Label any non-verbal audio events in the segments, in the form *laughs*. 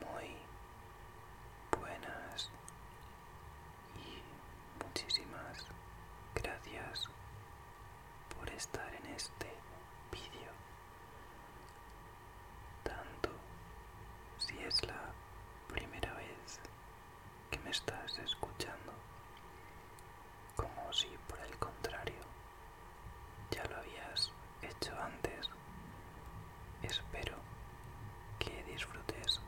Muy buenas y muchísimas gracias por estar en este vídeo. Tanto si es la primera vez que me estás escuchando como si por el contrario ya lo habías hecho antes. Espero que disfrutes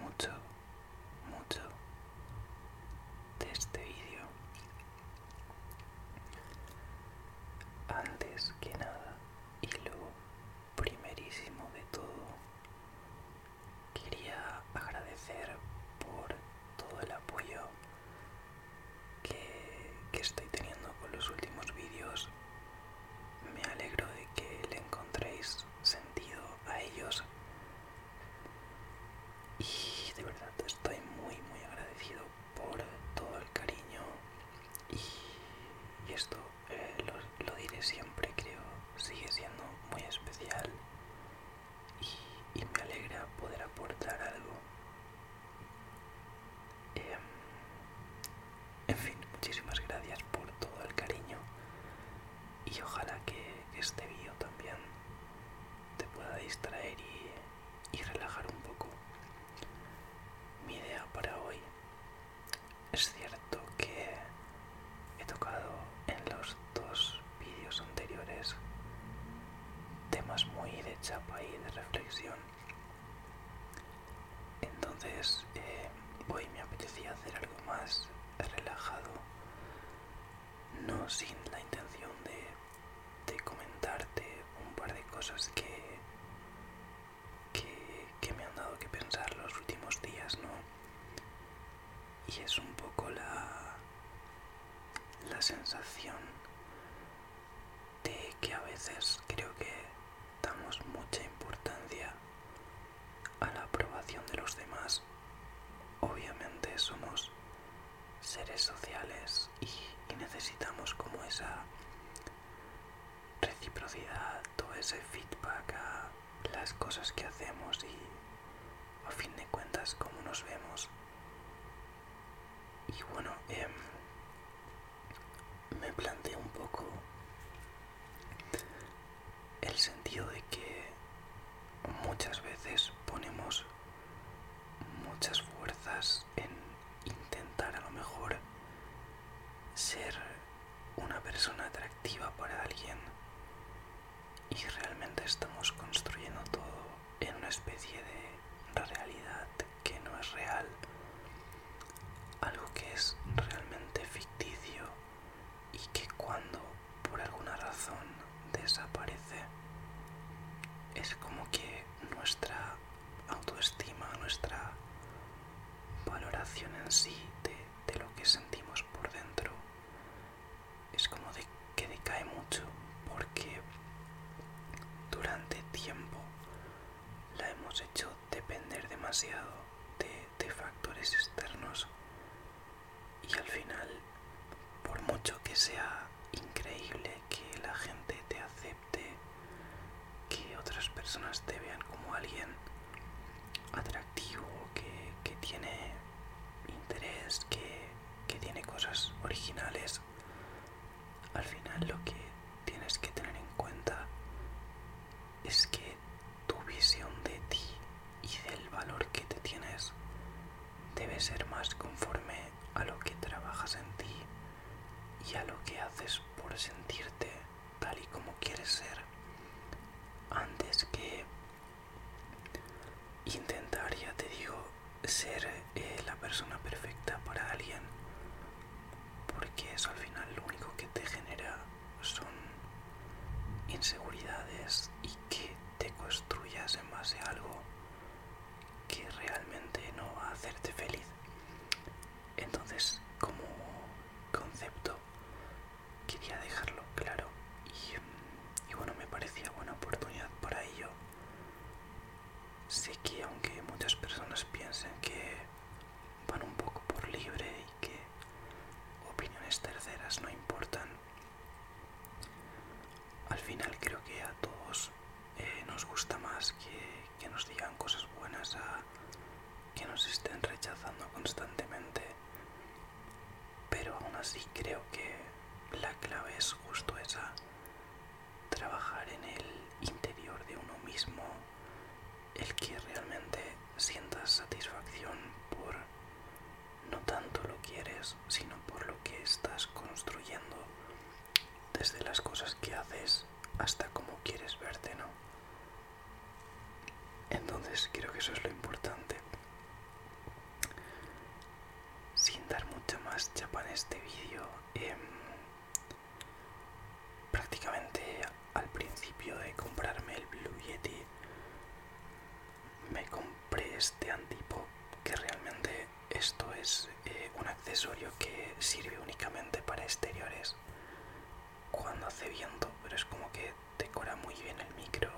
mucho, mucho de este vídeo. Antes que nada y lo primerísimo de todo, quería agradecer por todo el apoyo que, estoy teniendo con los últimos vídeos. Me alegro de que le encontréis sentido a ellos. Y de verdad estoy muy, muy agradecido por todo el cariño. Y, esto eh, lo, diré siempre, creo. Sigue siendo muy especial. y me alegra poder aportar algo Em, en fin, muchísimas gracias por todo el cariño y ojalá que, este vídeo también te pueda distraer y relajar un poco. Mi idea para hoy es cierto que he tocado en los dos vídeos anteriores temas muy de chapa y de reflexión. Entonces eh, hoy me apetecía hacer algo más relajado, no sin la intención de, comentarte un par de cosas que, que, que me han dado que pensar los últimos días, ¿no? Y es un poco la, la sensación de que a veces creo que damos mucha importancia a la aprobación de los demás. Obviamente somos seres sociales y, necesitamos como esa reciprocidad, todo ese feedback a las cosas que hacemos y a fin de cuentas cómo nos vemos y bueno, em, me planteé un poco el sentido de que muchas veces ponemos muchas fuerzas en intentar a lo mejor ser una persona atractiva para alguien y realmente estamos construyendo todo en una especie de realidad que no es real, algo que es realmente ficticio y que cuando por alguna razón desaparece, es como que nuestra autoestima, nuestra valoración en sí de, lo que sentimos por dentro, es como de que decae mucho porque durante tiempo la hemos hecho depender demasiado de, factores externos y al final por mucho que sea increíble que la gente te acepte que otras personas te vean como alguien atractivo que, tiene interés que, que tiene cosas originales al final lo que tienes que tener en cuenta es que tu visión de ti y del valor que te tienes debe ser más conforme a lo que trabajas en ti y a lo que haces por sentirte tal y como quieres ser antes que intentar, ya te digo, ser eh, la persona perfecta para alguien, porque eso al final lo único que te genera son inseguridades y que te construyas en base a algo que realmente no va a hacerte feliz. Entonces, como concepto, quería dejarlo claro y bueno, me parecía buena oportunidad para ello sé que aunque muchas personas piensen que van un poco por libre y que opiniones terceras no importan, al final creo que a todos eh, nos gusta más que, que nos digan cosas buenas a que nos estén rechazando constantemente. Pero aún así creo que la clave es justo esa, trabajar en el interior de uno mismo, el que realmente sientas satisfacción por no tanto lo que eres, sino por lo que estás construyendo, desde las cosas que haces hasta cómo quieres verte, ¿no? Entonces creo que eso es lo importante sin dar mucha más chapa en este vídeo, em, prácticamente al principio de comprarme el Blue Yeti, me compré este antipop que realmente esto es eh, un accesorio que sirve únicamente para exteriores cuando hace viento, pero es como que decora muy bien el micro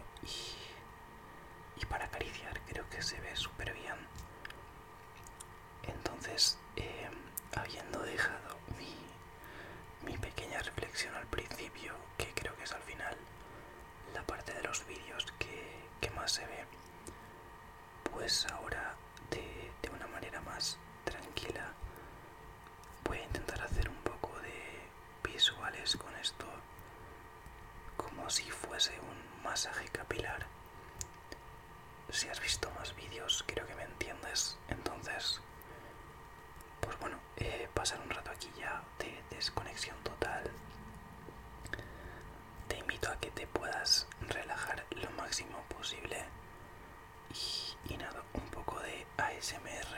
y para acariciar creo que se ve súper bien entonces, em, habiendo dejado mi, pequeña reflexión al principio, que creo que es al final la parte de los vídeos que, más se ve, pues ahora de una manera más tranquila voy a intentar hacer un poco de visuales con esto como si fuese un masaje capilar si has visto más vídeos, creo que me entiendes. Entonces, pues bueno, eh, pasar un rato aquí ya de desconexión total. Te invito a que te puedas relajar lo máximo posible. y nada, un poco de ASMR,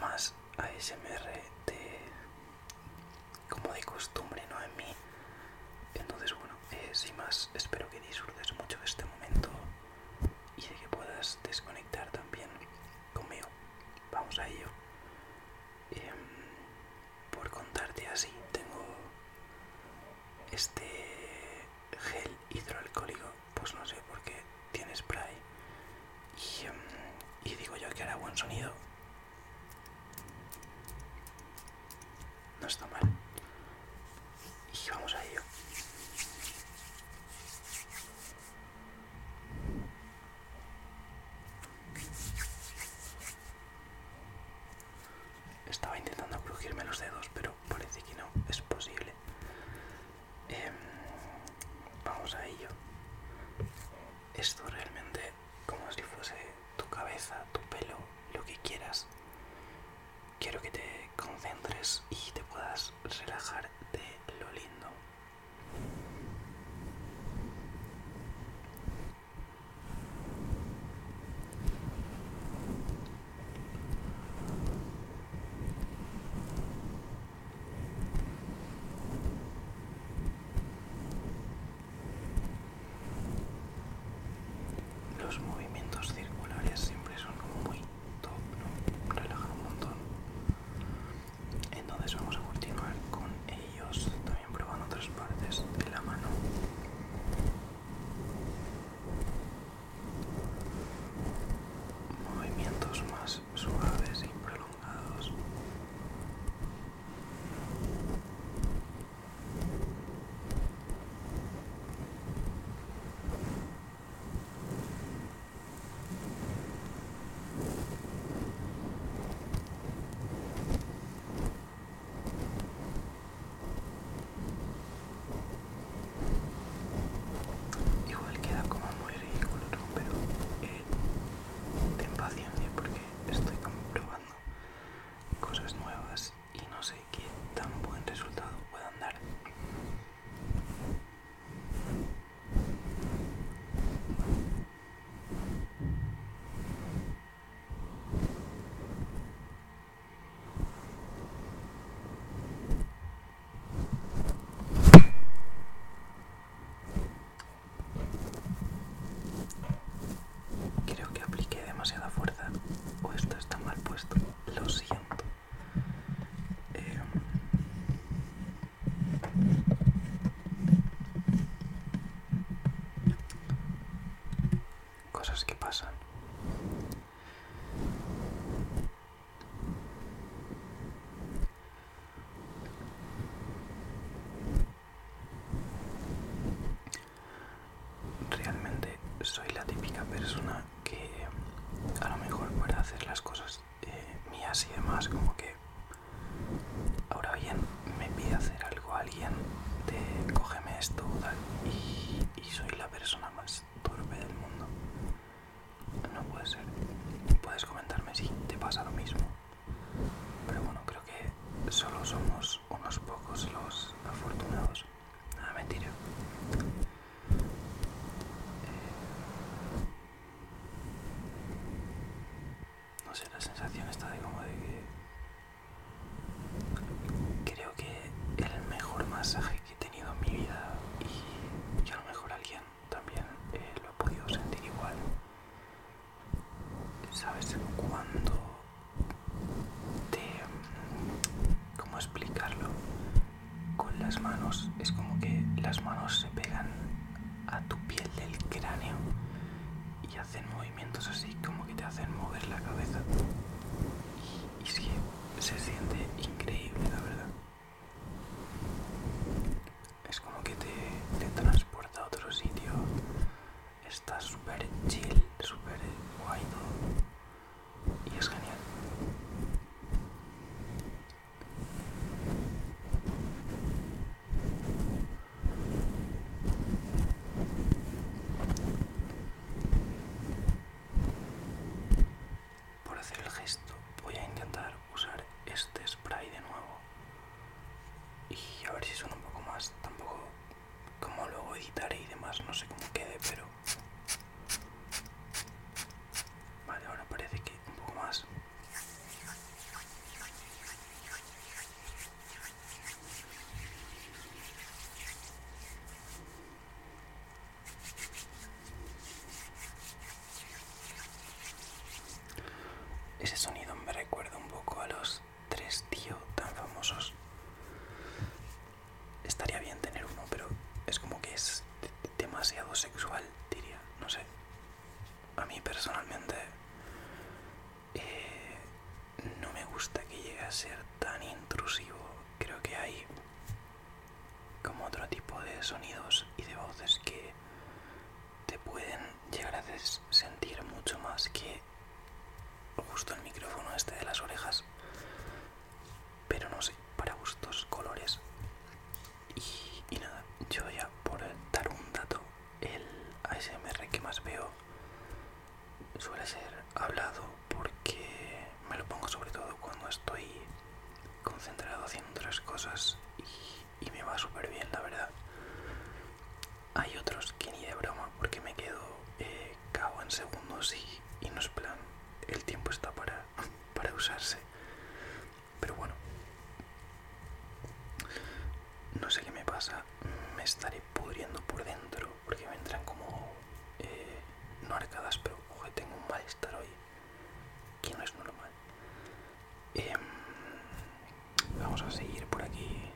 más ASMR de como de costumbre, ¿no? En mí. Entonces, bueno, eh, sin más, espero que disfrutes mucho de este momento y de que puedas desconectar también conmigo. Vamos a ello. Em, por contarte así, tengo este gel hidroalcohólico, pues no sé por qué tiene spray. Em, y digo yo que hará buen sonido no está mal. Y vamos a ello. Estaba intentando crujirme los dedos, pero parece que no es posible. Em, vamos a ello. Esto realmente como si fuese tu cabeza, tu pelo, lo que quieras. Quiero que te concentres y te puedas relajar de lo lindo. Los movimientos circulares siempre son muy top, ¿no? Relajan un montón. Entonces vamos a continuar con ellos, también probando otras partes de la mano. Movimientos más suaves y prolongados. Igual queda como muy ridículo, pero eh, ten paciencia porque estoy comprobando cosas nuevas y no sé qué tan buen resultado puedan dar. Creo que apliqué demasiada fuerza o esto está mal puesto. Lo siento. Em, cosas que pasan. Realmente soy la típica persona que a lo mejor para hacer las cosas eh, mías y demás, como que ahora bien me pide hacer algo a alguien de cógeme esto y, y soy la persona más torpe del mundo. No puede ser. Puedes comentarme si te pasa lo mismo. Pero bueno, creo que solo somos unos pocos los afortunados. nada, ah, mentira. Eh, no sé, la sensación está de como de que creo que el mejor masaje que he tenido en mi vida y, a lo mejor alguien también eh, lo ha podido sentir igual ¿Sabes cuándo te... cómo explicarlo? Con las manos es como que las manos se pegan a tu piel del cráneo y hacen movimientos así como que te hacen mover la cabeza. Y, sí, se siente increíble, la verdad. Es como que te transporta a otro sitio está súper chill, súper guay Y es genial. Por hacer el gesto voy a intentar usar este spray de nuevo y a ver si suena un poco más. Tampoco como luego editaré y demás, no sé cómo quede, pero... Vale, ahora parece que un poco más. Ese sonido me recuerda un poco a los tres, tíos tío, tan famosos. Estaría bien tener uno, pero es como que es demasiado sexual, diría, no sé. A mí personalmente eh, no me gusta que llegue a ser tan intrusivo. Creo que hay como otro tipo de sonidos y de voces que te pueden llegar a sentir mucho más que justo el micrófono este de las orejas. Pero no sé, para gustos, colores. Y, nada, yo ya por dar un dato, el ASMR que más veo suele ser hablado porque me lo pongo sobre todo cuando estoy concentrado haciendo otras cosas y me va súper bien, la verdad hay otros que ni de broma porque me quedo cago eh, cabo en segundos y, no es plan, el tiempo está para, *laughs* para usarse. Pero bueno, no sé qué me pasa, me estaré pudriendo por dentro porque me entran como, eh, no arcadas, pero tengo un malestar hoy que no es normal. Em, vamos a seguir por aquí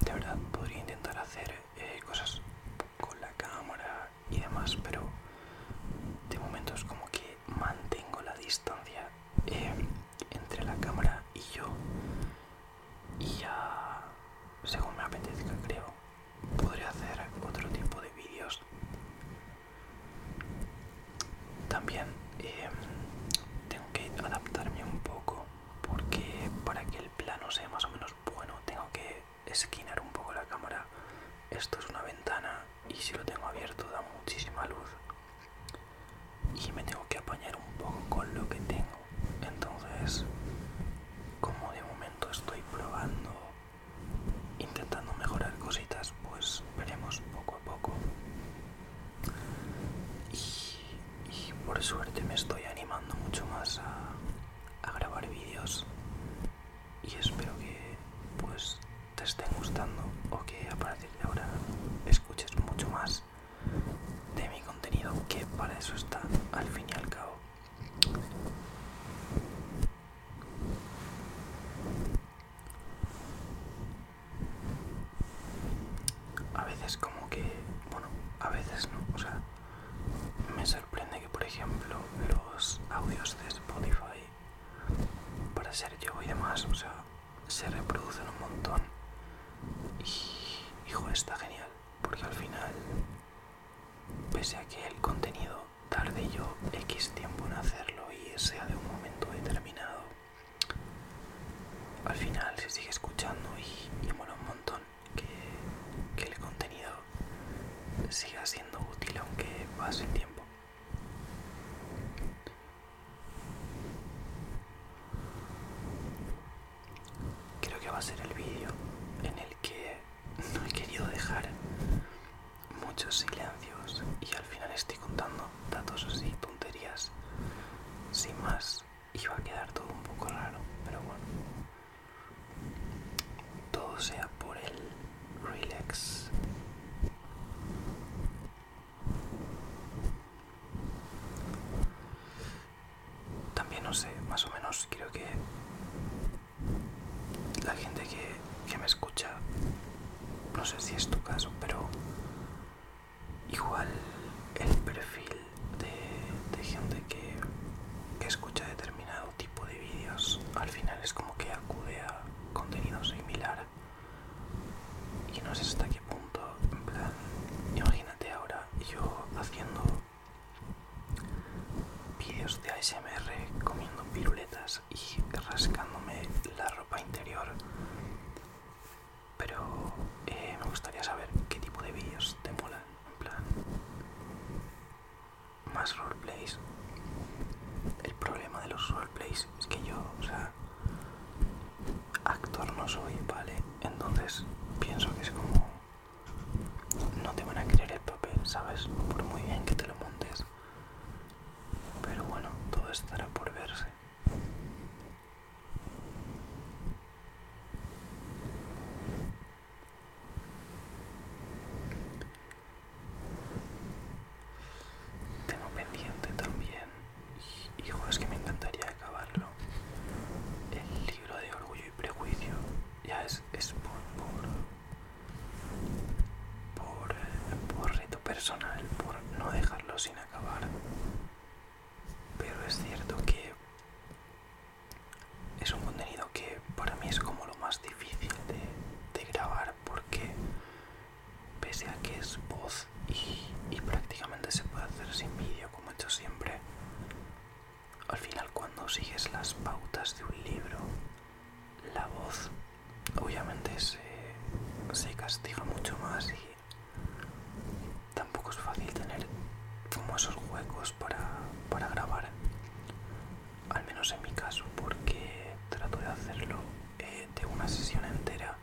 de verdad podría intentar hacer eh, cosas con la cámara y demás, pero de momento es como que mantengo la distancia eh, entre la cámara y yo y ya según me apetezca creo podré hacer otro tipo de vídeos también em, tengo que adaptarme un poco porque para que el plano sea más o menos bueno tengo que esquinar un poco la cámara. Esto es una ventana y si lo tengo abierto da muchísima luz y me tengo que apañar un poco con lo que tengo. Entonces, como de momento estoy probando, intentando mejorar cositas, pues veremos poco a poco y, por suerte me estoy animando mucho más a, grabar vídeos. Y espero que pues te estén gustando o que a partir de ahora escuches mucho más de mi contenido, que para eso está al fin y al cabo a veces como que, bueno, a veces no, o sea, me sorprende que por ejemplo los audios de Spotify, para ser yo y demás, o sea, se reproducen un montón. Y, hijo, está genial, porque al final, pese a que el contenido tarde yo X tiempo en hacerlo y sea de un momento determinado, al final se sigue escuchando y, me mola un montón que, que el contenido siga siendo útil aunque pase el tiempo. Creo que va a ser el vídeo en el que *laughs* no he querido dejar muchos silencios y al final estoy contando datos así tonterías. Sin más, iba a quedar todo un poco raro, pero bueno. Todo sea por el relax. También no sé, más o menos creo que la gente que, que me escucha, no sé si es tu caso, pero igual el perfil de, gente que escucha determinado tipo de vídeos al final es como que acude a contenido similar y no sé hasta qué punto en plan imagínate ahora yo haciendo vídeos de ASMR comiendo piruletas y rascándome la ropa interior pero eh, me gustaría saber qué tipo de vídeos te molan, en plan más roleplays. El problema de los roleplays es que yo, o sea, actor no soy, ¿vale? Entonces pienso que es como... No te van a querer el papel, ¿sabes? Por muy bien que te lo montes. Pero bueno, todo estará por verse. Tengo pendiente también, hijo, es que me encantaría acabarlo. El libro de Orgullo y Prejuicio ya es, por, por, por, eh, por reto personal, por no dejarlo sin acabar pero es cierto que es un contenido que para mí es como lo más difícil de, grabar porque pese a que es voz y, prácticamente se puede hacer sin vídeo como he hecho siempre, al final cuando sigues las pautas de un libro, la voz obviamente se, se castiga mucho más y tampoco es fácil tener como esos huecos para, grabar, al menos en mi caso, porque trato de hacerlo eh, de una sesión entera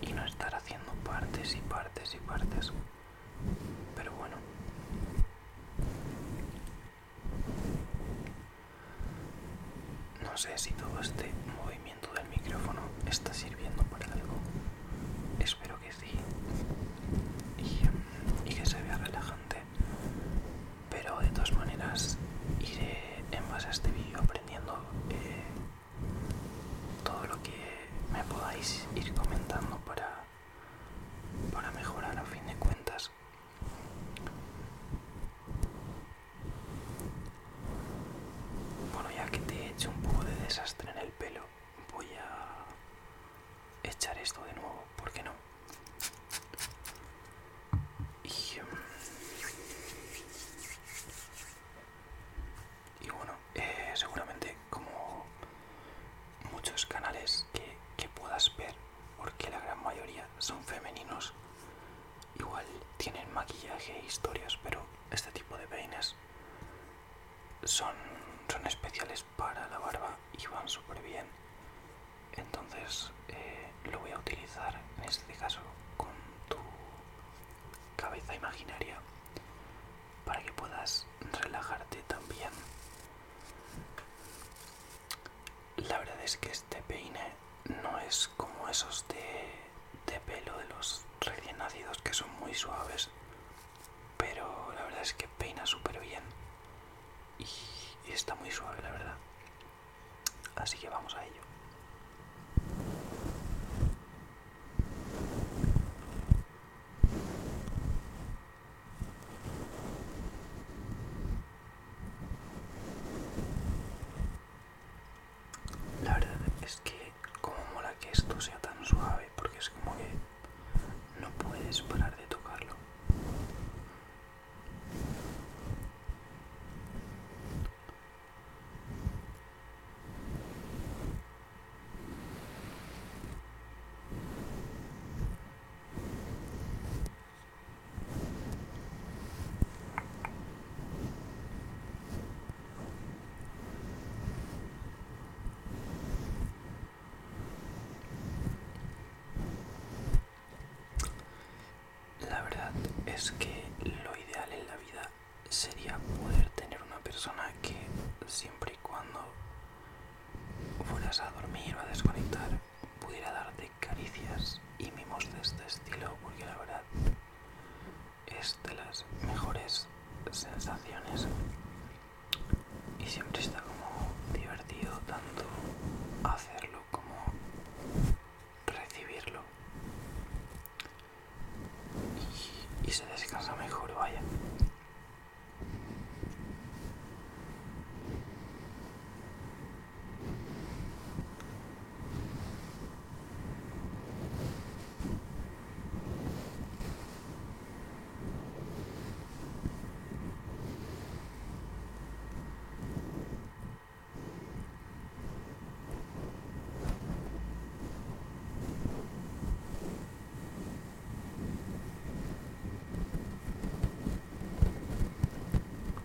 y no estar haciendo partes y partes y partes. Pero bueno. No sé si todo este movimiento el del micrófono está sirviendo para algo. Espero que sí. Y, que se vea relajante. Pero de todas maneras iré en base a este vídeo aprendiendo eh, todo lo que me podáis ir comentando para, para mejorar a fin de cuentas. Bueno, ya que te he hecho un poco de desastre en el pelo, voy a echar esto de nuevo, ¿por qué no? Y, mm, bueno, eh, seguramente como muchos canales que puedas ver, porque la gran mayoría son femeninos, igual tienen maquillaje e historias, pero este tipo de peines son, son especiales para la barba y van súper bien. Entonces eh, lo voy a utilizar en este caso con tu cabeza imaginaria para que puedas relajarte también. La verdad es que este peine no es como esos de, de pelo de los recién nacidos que son muy suaves, pero la verdad es que peina súper bien y, y está muy suave, la verdad. Así que vamos a ello. La verdad es que como mola que esto sea tan suave porque es como que no puedes parar de tocarlo. La verdad es que lo ideal en la vida sería poder tener una persona que siempre y cuando fueras a dormir o a desconectar pudiera darte caricias y mimos de este estilo porque la verdad es de las mejores sensaciones y siempre está como divertido tanto hacerlo como recibirlo y, se descansa mejor vaya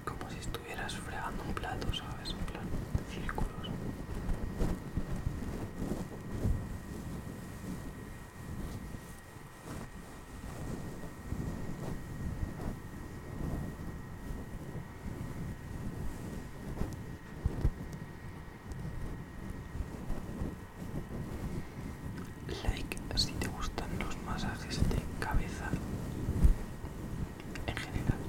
como si estuvieras fregando un plato, ¿sabes? En de círculos. Like si te gustan los masajes de cabeza en general.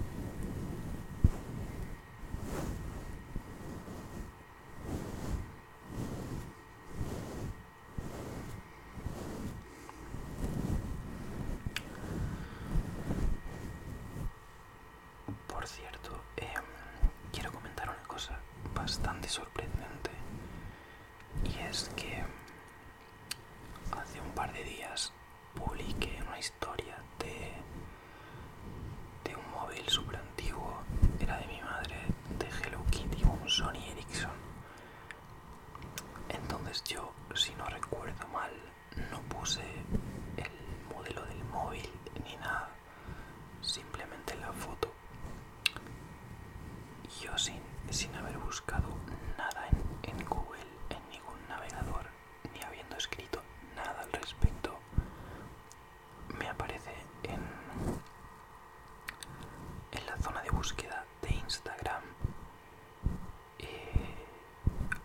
Por cierto, em, quiero comentar una cosa bastante sorprendente y es que hace un par de días publiqué una historia de, de un móvil super antiguo, era de mi madre, de Hello Kitty, un Sony Ericsson. Entonces yo, si no recuerdo mal, no puse el modelo del móvil ni nada, simplemente la foto. Yo sin, haber buscado nada en Google, en ningún navegador, ni habiendo escrito nada al respecto, me aparece en, en la zona de búsqueda de Instagram eh,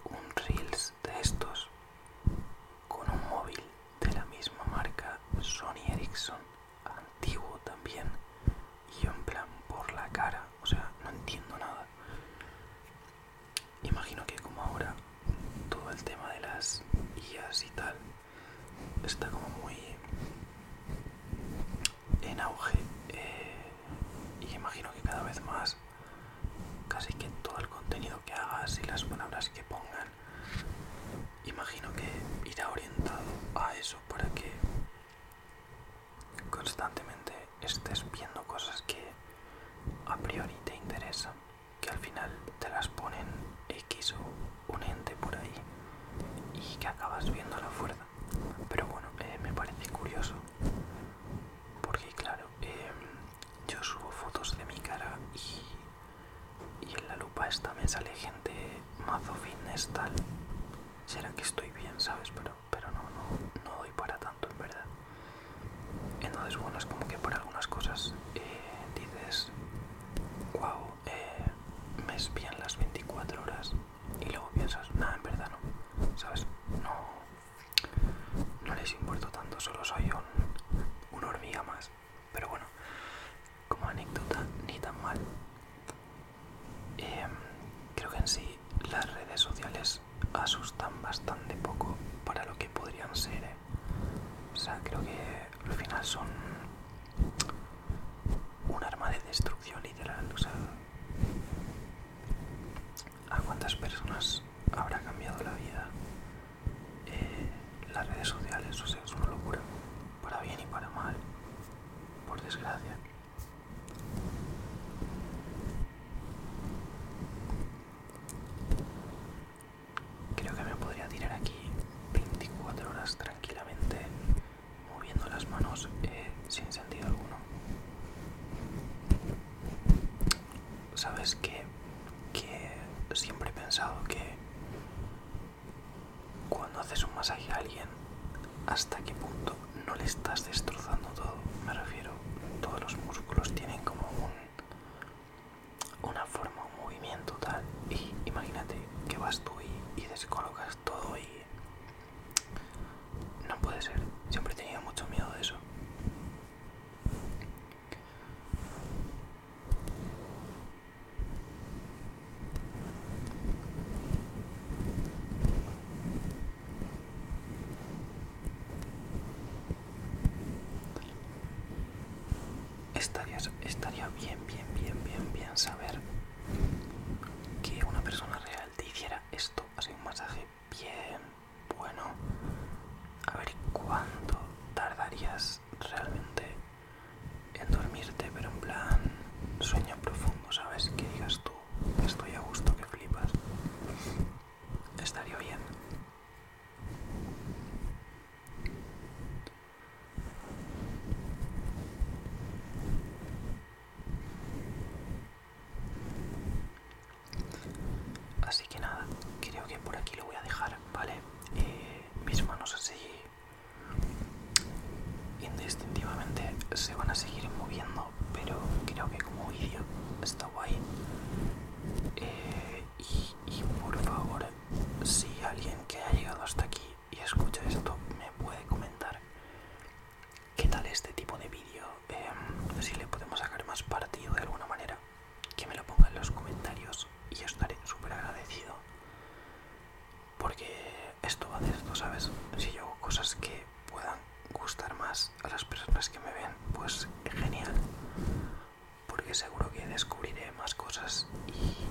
un Reels de estos con un móvil de la misma marca Sony Ericsson, antiguo también, y yo en plan por la cara, o sea, no entiendo nada imagino que como ahora todo el tema de las guías y tal está como muy en auge eh, y imagino que cada vez más casi que todo el contenido que hagas y las palabras que pongan imagino que irá orientado a eso para que constantemente estés viendo cosas que a priori te interesa, que al final te las ponen X o un ente por ahí y que acabas viendo la fuerza. Pero bueno, eh, me parece curioso, porque claro, em, yo subo fotos de mi cara y, en la lupa esta me sale gente mazo fitness tal. Será que estoy bien, ¿sabes? Pero, pero no, no, no doy para tanto en verdad. Entonces, bueno, es como que por algunas cosas eh, dices, wow, eh, me espían las 24 horas y luego piensas, nada, en verdad no, ¿sabes? No, no les importo tanto, solo soy un, hormiga más. Pero bueno, como anécdota, ni tan mal. Em, creo que en sí las redes sociales asustan bastante poco para lo que podrían ser. ¿eh? O sea, creo que al final son un arma de destrucción literal. O sea, ¿a cuántas personas habrá cambiado la vida? Eh, las redes sociales, o sea, es una locura. Para bien y para mal. Por desgracia. Creo que me podría tirar aquí 24 horas tranquilamente moviendo las manos eh, sin sentido alguno. Sabes que siempre he pensado que cuando haces un masaje a alguien, hasta qué punto no le estás destrozando todo. Me refiero, todos los músculos tienen como un una forma, un movimiento tal. Y imagínate que vas tú y, descolocas todo y... No puede ser, siempre he tenido mucho miedo de eso. Estaría, estaría bien, bien, bien, bien, bien saber que una persona real te hiciera esto, así un masaje bien bueno. A ver cuánto tardarías realmente en dormirte, pero en plan sueño profundo, ¿sabes? Que digas tú, estoy a gusto, que flipas. Estaría bien. Así que nada, creo que por aquí lo voy a dejar, ¿vale? Eh, mis manos así indistintivamente se van a seguir moviendo, pero creo que como vídeo está guay eh, y, por favor, si alguien que ha llegado hasta aquí y escucha esto me puede comentar qué tal este tipo de vídeo, eh, si le podemos sacar más partido de alguna manera, que me lo ponga en los comentarios y yo estaré súper agradecido. Porque esto va de esto, ¿sabes? Si yo hago cosas que puedan gustar más a las personas que me ven, pues genial. Porque seguro que descubriré más cosas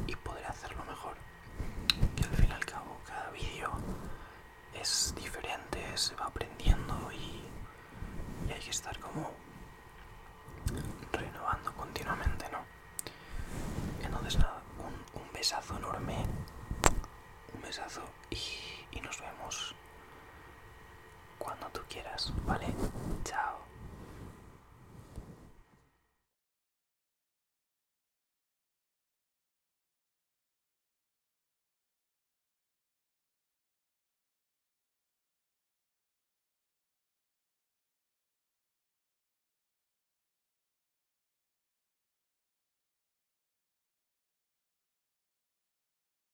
y, podré hacerlo mejor. Que al fin y al cabo cada vídeo es diferente, se va aprendiendo y, hay que estar como renovando continuamente, ¿no? Entonces nada, un, un besazo enorme. Un besazo y nos vemos cuando tú quieras, ¿vale? Chao.